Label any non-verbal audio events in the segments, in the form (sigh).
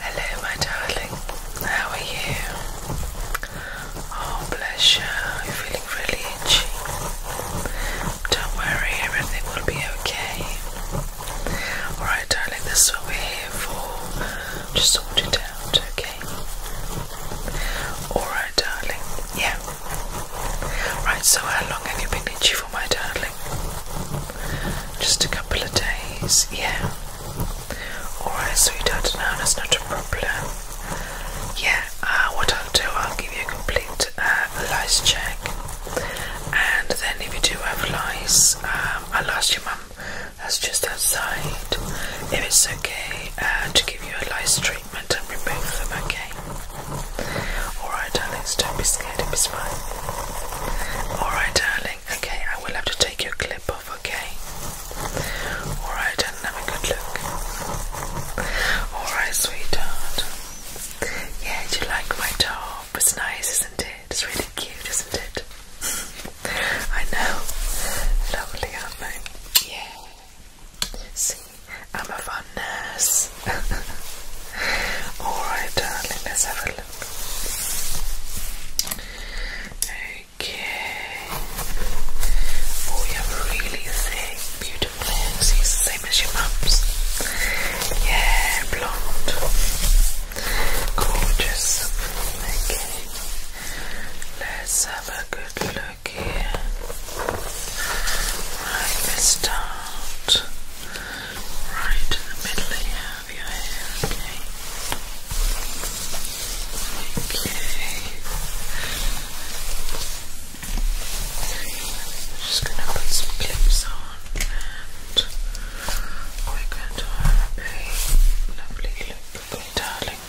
Hello, my darling. How are you? Oh, bless you. You're feeling really itchy. Don't worry, everything will be okay. Alright, darling, this is what we're here for. Just sort it out, okay? Alright, darling. Yeah, Right, so how long have you been itchy for, my darling? Just a couple of days, yeah. Alright, sweetheart, now that's not a problem. Yeah, uh, what I'll do, I'll give you a complete uh, lice check. And then if you do have lice, um, I'll ask your mum, that's just outside, if it's okay uh, to give you a lice treatment and remove them, okay? Alright, darling, don't be scared, it be fine. Alright, darling, okay, I will have to take your clip off, okay? Alright, and have a good look. Alright, sweetheart. Yeah, do you like my top? It's nice, isn't it? It's really cute, isn't it? I know. Lovely, aren't they? Yeah. See, I'm a fun nurse. (laughs) Alright, darling, let's have a look. Okay. Oh, you have really thick, beautiful same as your mum's. Yeah, blonde. Gorgeous. Okay. Let's have a good look Right, let's right in the middle here of your hair, okay? Okay. I'm just going to put some clips on and we're going to have a lovely look, my darling?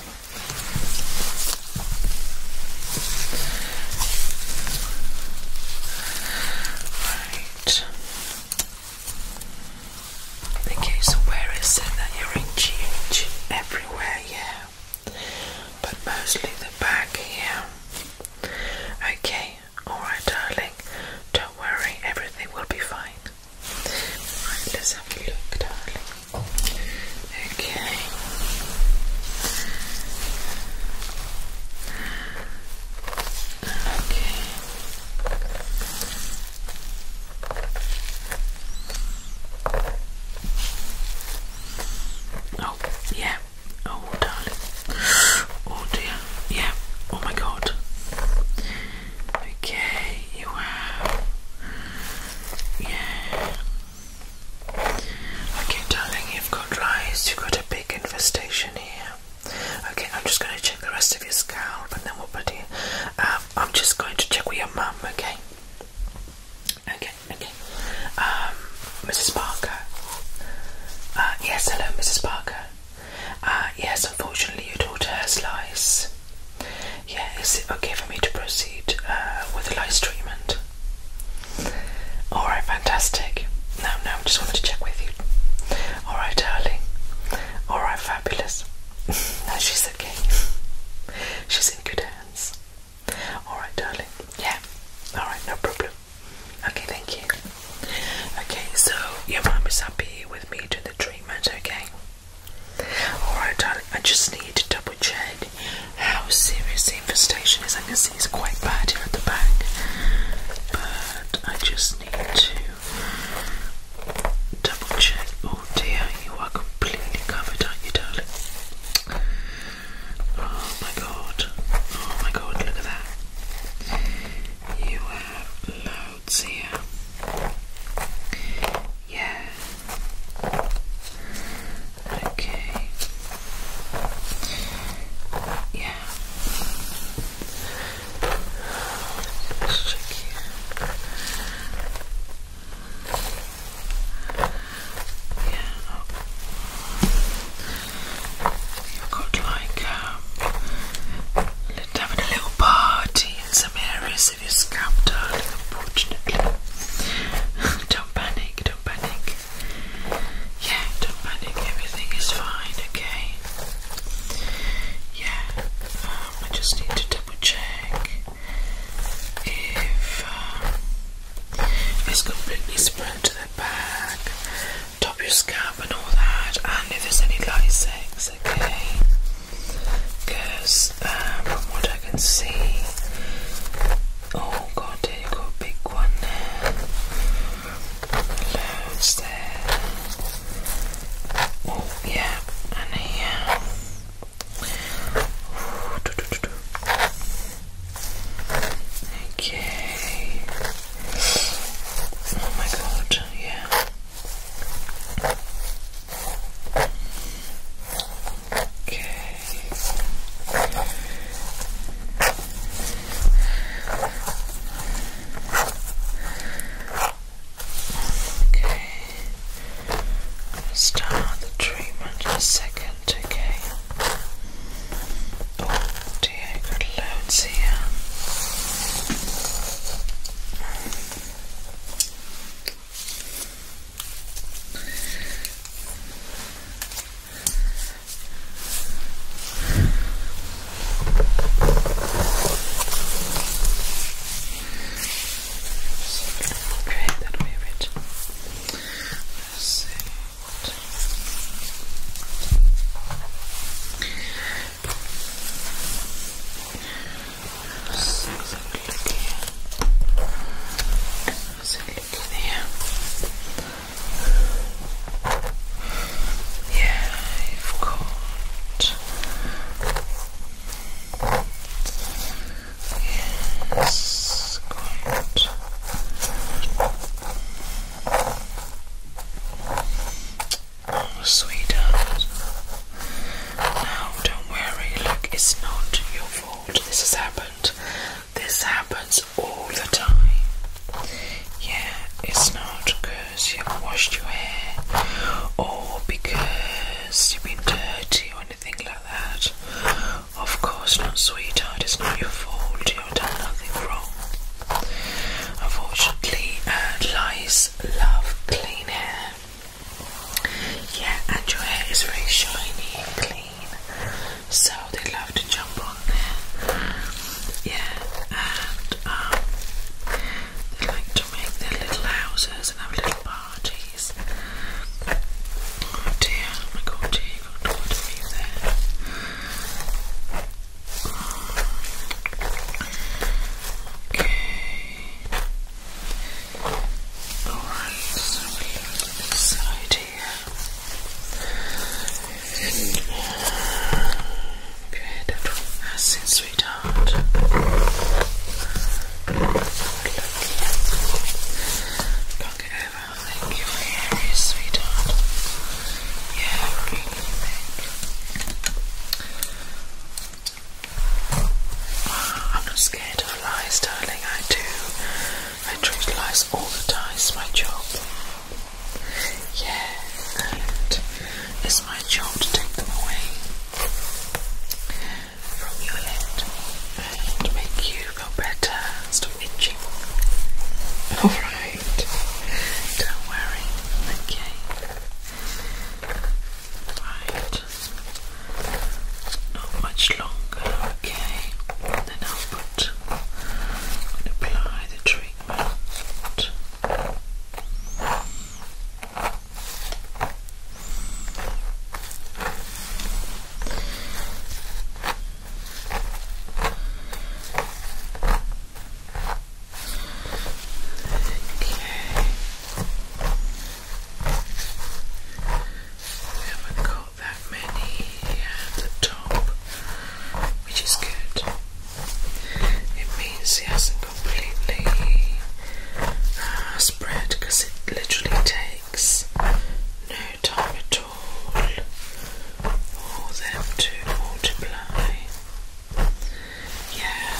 Right. Okay, so where is it that you're in Everywhere, yeah. But mostly the back here. Okay, alright darling. Don't worry, everything will be fine. Right, look, darling. Okay. Okay. Oh, yeah. Oh, darling. Oh, dear. Yeah. Oh, my God. Okay, you have. Yeah. Okay, darling, you've got rice, you've got a big infestation here. Okay, I'm just going to check the rest of your scalp and then we'll put um, I'm just going to check with your mum, okay? Okay, okay. Mrs. Um, Parker. Uh, yes, hello, Mrs. Parker. Uh, yes, unfortunately, your daughter has lice. Yes. is it okay for me to proceed uh, with the lice treatment? Alright, fantastic. No, no, just wanted to check with you. Alright, darling. Alright, fabulous. (laughs) Now she's okay. (laughs) she's in good hands. Alright, darling. Yeah. Alright, no problem. Okay, thank you. Okay, so your mum is happy with me doing the treatment, okay? Alright, darling. I just need to double check how serious the infestation is. I can see it's quite bad here at the back, but I just need to double check. Oh dear, you are completely covered, aren't you, darling? Oh my god, oh my god, look at that. You have loads here. Yeah. Okay. Yeah. Let's check Yeah. Oh. You've got like um, let's have a little party in some areas of your scalp, don't panic. Don't panic. Yeah, don't panic, everything is fine, okay? Yeah, um, I just need to double check if um, it's completely spread to the back, top of your scalp, and all that, and if there's any lysics, okay? Because um, from what I can see, Oh god, there you go, big one. Loads there. Oh yeah, and here. Ooh, do, do, do, do. Okay. Oh my god, yeah. Okay. Okay. start the treatment in a second, okay? Oh dear, I've got Great, that will be rich. Let's see. Six, okay. Let's have here. Yeah, you've Yes, quite. Oh, sweetheart. No, don't worry. Look, it's not your fault. This has happened. This happens all the time. Yeah, it's not because you've washed your hair or because you've been dirty or anything like that. Of course not, sweetheart. It's not your fault. You've done nothing wrong. Unfortunately, lice love clean hair. Yeah, and your hair is very shiny and clean so they love to jump on there. Yeah, and um, they like to make their little houses and have little parties. Oh dear, oh my god, dear, you got to me there. Okay. Alright, so we here. Good. Acid, ah, sweetheart. Look here. Look over. Thank you for sweetheart. Yeah, really I'm not scared of lies, darling. I do I totalize all the ties, my job. Yeah, it's my job to take them away from your head and make you feel better stop itching. (laughs) Alright, don't worry, okay. Right, not much longer, okay. Then I'll and apply the treatment. Okay. We have that many at the top, which is good. It means he hasn't completely uh, spread because it literally takes no time at all for them to multiply. Yeah,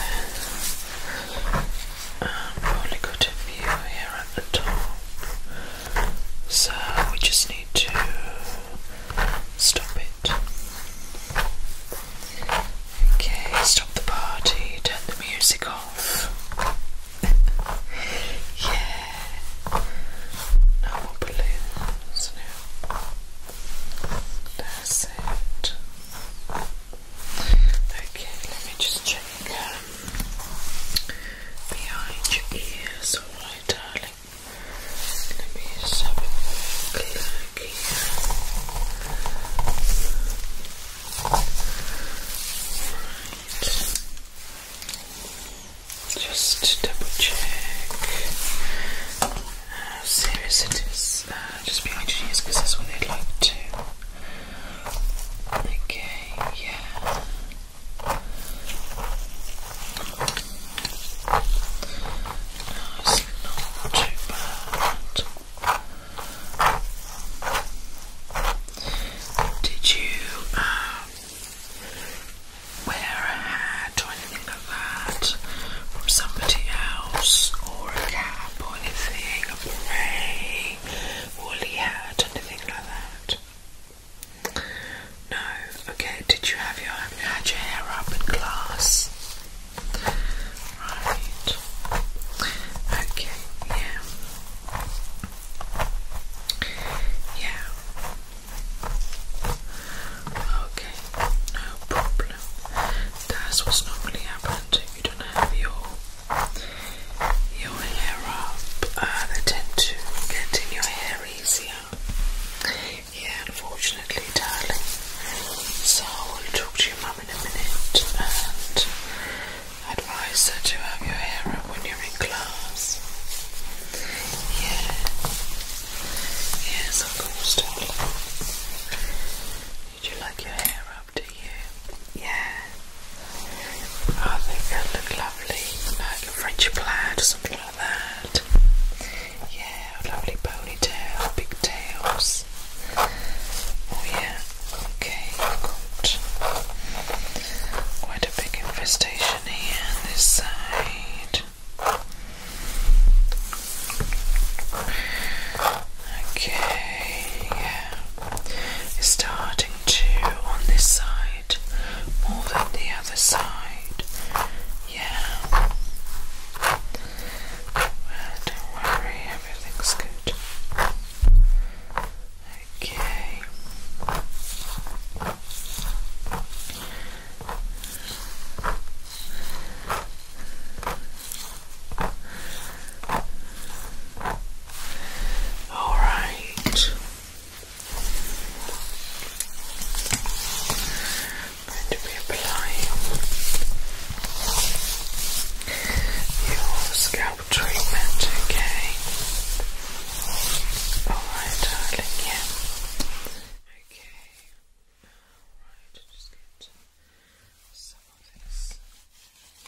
I've um, view here at the top. So we just need to stop it. Okay, stop the party, turn the music off. (laughs) yeah. No more balloons. No. That's it. Okay, let me just check behind your ears, alright, darling. Let me just have a look here. Just double check how serious it is. Uh, just behind your ears, because that's what they'd like to. Okay, yeah it's not too bad. Did you um, wear a hat or anything like that from somebody else, or a cap or anything, a grey woolly hat, anything like that? No, okay, did you have your, had your hair up in class? Right. Okay, yeah. Yeah. Okay, no problem. That's what's normally happened if you don't have your your hair up. Uh, they tend to get in your hair easier. Yeah, unfortunately, darling. So I will talk to your mum in a minute and advise her to have your hair up when you're in class. Yeah. Yes, of course, darling. Did you like your hair up, do you? Yeah. I think it'll look lovely, like a French plaid or something like that. Yeah, lovely ponytail, big tails. Oh yeah, okay, good. Quite a big infestation here on this side. Okay, yeah. starting to on this side more than the other side. Yeah. Well, don't worry, everything's good. Okay. All right going to be your scalp treatment, okay? Alright, darling, yeah. Okay. Alright, just get some of this. Okay.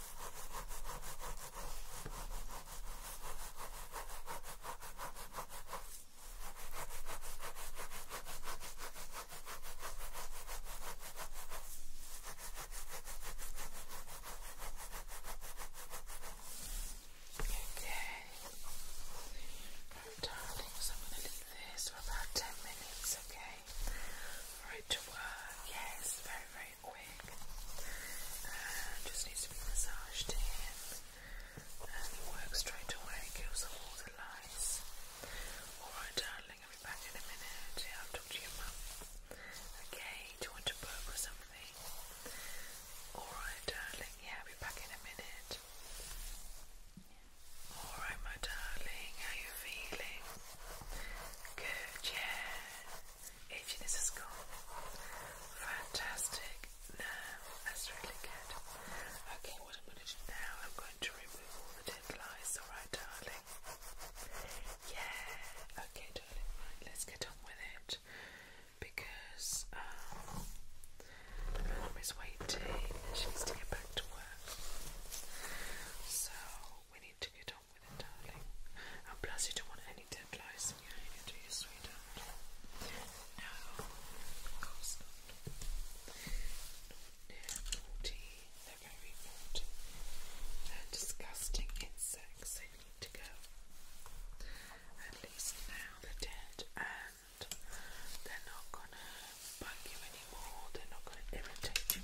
Okay. Oh, darling, so I'm going to leave this for about 10 minutes, okay? For to work. Yes, very, very quick. just needs to be massaged in. And it works straight away, kills all the lice. Alright darling, I'll be back in a minute. Yeah, I'll talk to your mum. Okay, do you want to book or something? Alright darling, yeah, I'll be back in a minute. Alright my darling, how you feeling? Good, yeah. Aging is a school. Fantastic. that's really good. Okay, what I'm going to do now, I'm going to remove all the dead lice, alright, darling? Yeah. Okay, darling, let's get on with it. Because, um, Mum is waiting she needs to get back to work. So, we need to get on with it, darling. plus, you don't want any deadlines behind it, do you, sweetheart? No, of course not. They're very naughty. They're disgusting insects, they need to go. At least now they're dead and they're not gonna bug you anymore, they're not gonna irritate you,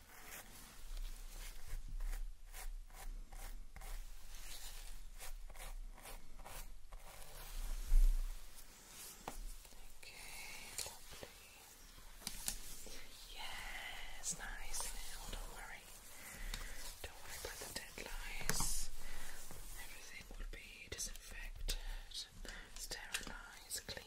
Okay, lovely. Yes, nice now, don't worry. Don't worry about the dead Everything will be disinfected, sterilised, cleaned.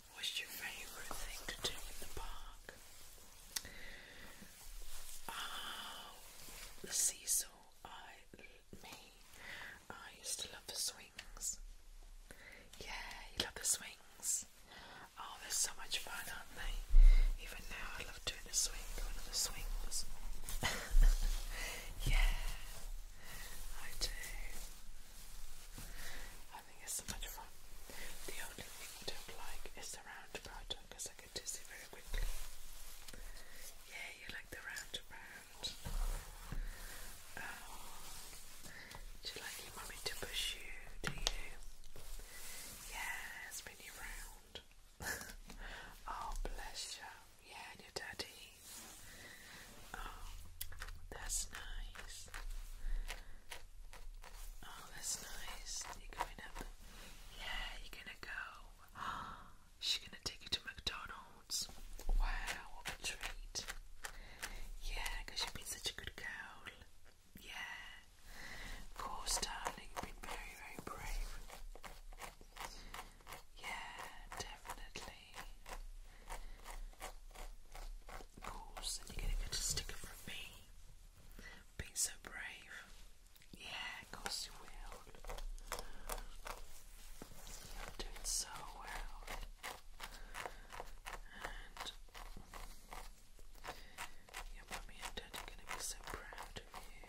What's your favorite thing to do in the park? Oh, the seesaw. I, me, I used to love the swings. Yeah, you love the swings. Oh, they're so much fun, aren't they? Even now, I love doing a swing, going the swings. (laughs) yeah, I do. I think it's so much fun. The only thing I don't like is the round part because I get dizzy very quickly. Yeah, you like the round um, do you like your mummy to push you? Do you? Yeah, spin you round. (laughs) oh, bless you. Yeah, and your daddy. Oh, that's nice. Oh, that's nice. You're going up. Yeah, you're gonna go. (gasps) She's gonna take you to McDonald's. Wow, what a treat. Yeah, you've been such a good girl. Yeah. Of course, darling, you've been very, very brave. Yeah, definitely apples and you're going to get a sticker from me. Being so brave. Yeah, of course you doing so well. And your mummy and daddy are going to be so proud of you.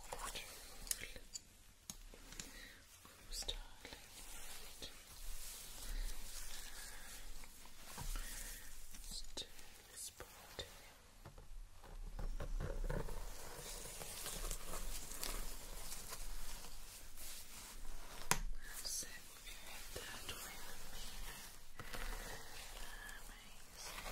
Almost hardly right. Let's do this spot. That's You hit that way me. Amazing.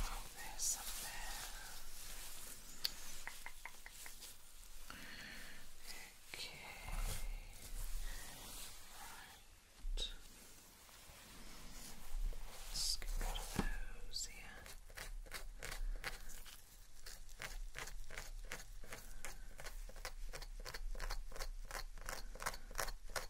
Oh, there's Okay. Let's get rid of those here.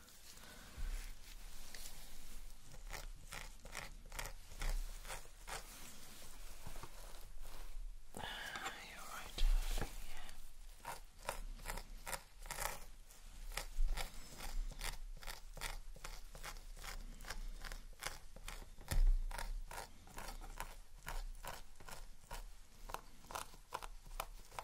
You're right, yeah.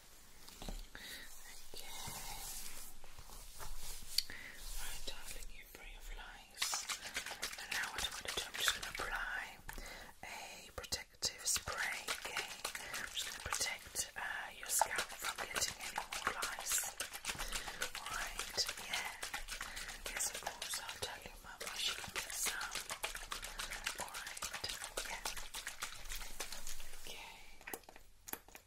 Right, darling, you bring your flies. And now what I'm going to do, I'm just going to apply a protective spray. Okay, I'm just going to protect uh, your scalp from getting any more flies. Alright, yeah. Yes, of course, tell you, Mum, I should get some. Alright, yeah. Okay.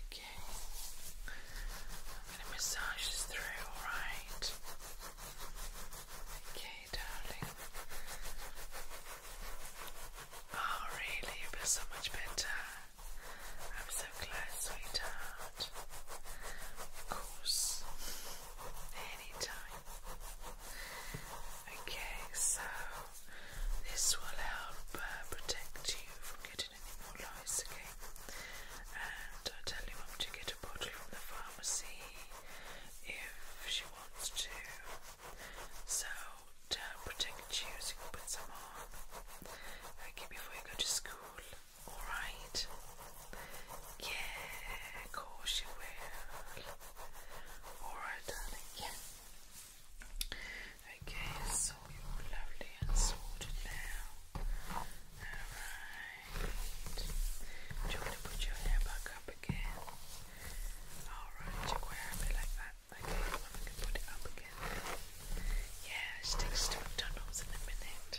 Okay. I'm massage this through, alright? Okay, darling. Oh really, you feel so much better. I'm so glad, sweetheart. Of course anytime. Okay, so this will help uh, protect you from getting any more lice again. And I tell you, mum to get a bottle from the pharmacy if she wants to. So to protect you, so you can put some on. Okay, before you go to school. Alright. Yeah, of course you will. Alright, darling, Okay, so you're lovely and sorted now. Alright. Do you to put your hair back up again? Alright, you wear it like that. Okay, well, I can put it up again. Yeah, she to McDonald's in a minute.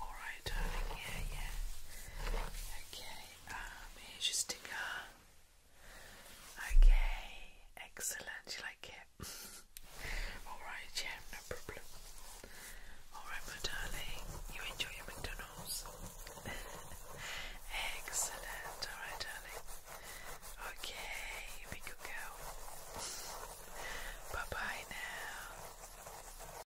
Alright, darling, yeah, yeah. Okay, um, here's your sticker. Okay, excellent. You like it? (laughs) Alright, yeah, no problem. Alright, my darling, you enjoy your McDonald's. (laughs) excellent. Alright, darling. Okay, you be good girl. (laughs) Bye bye now.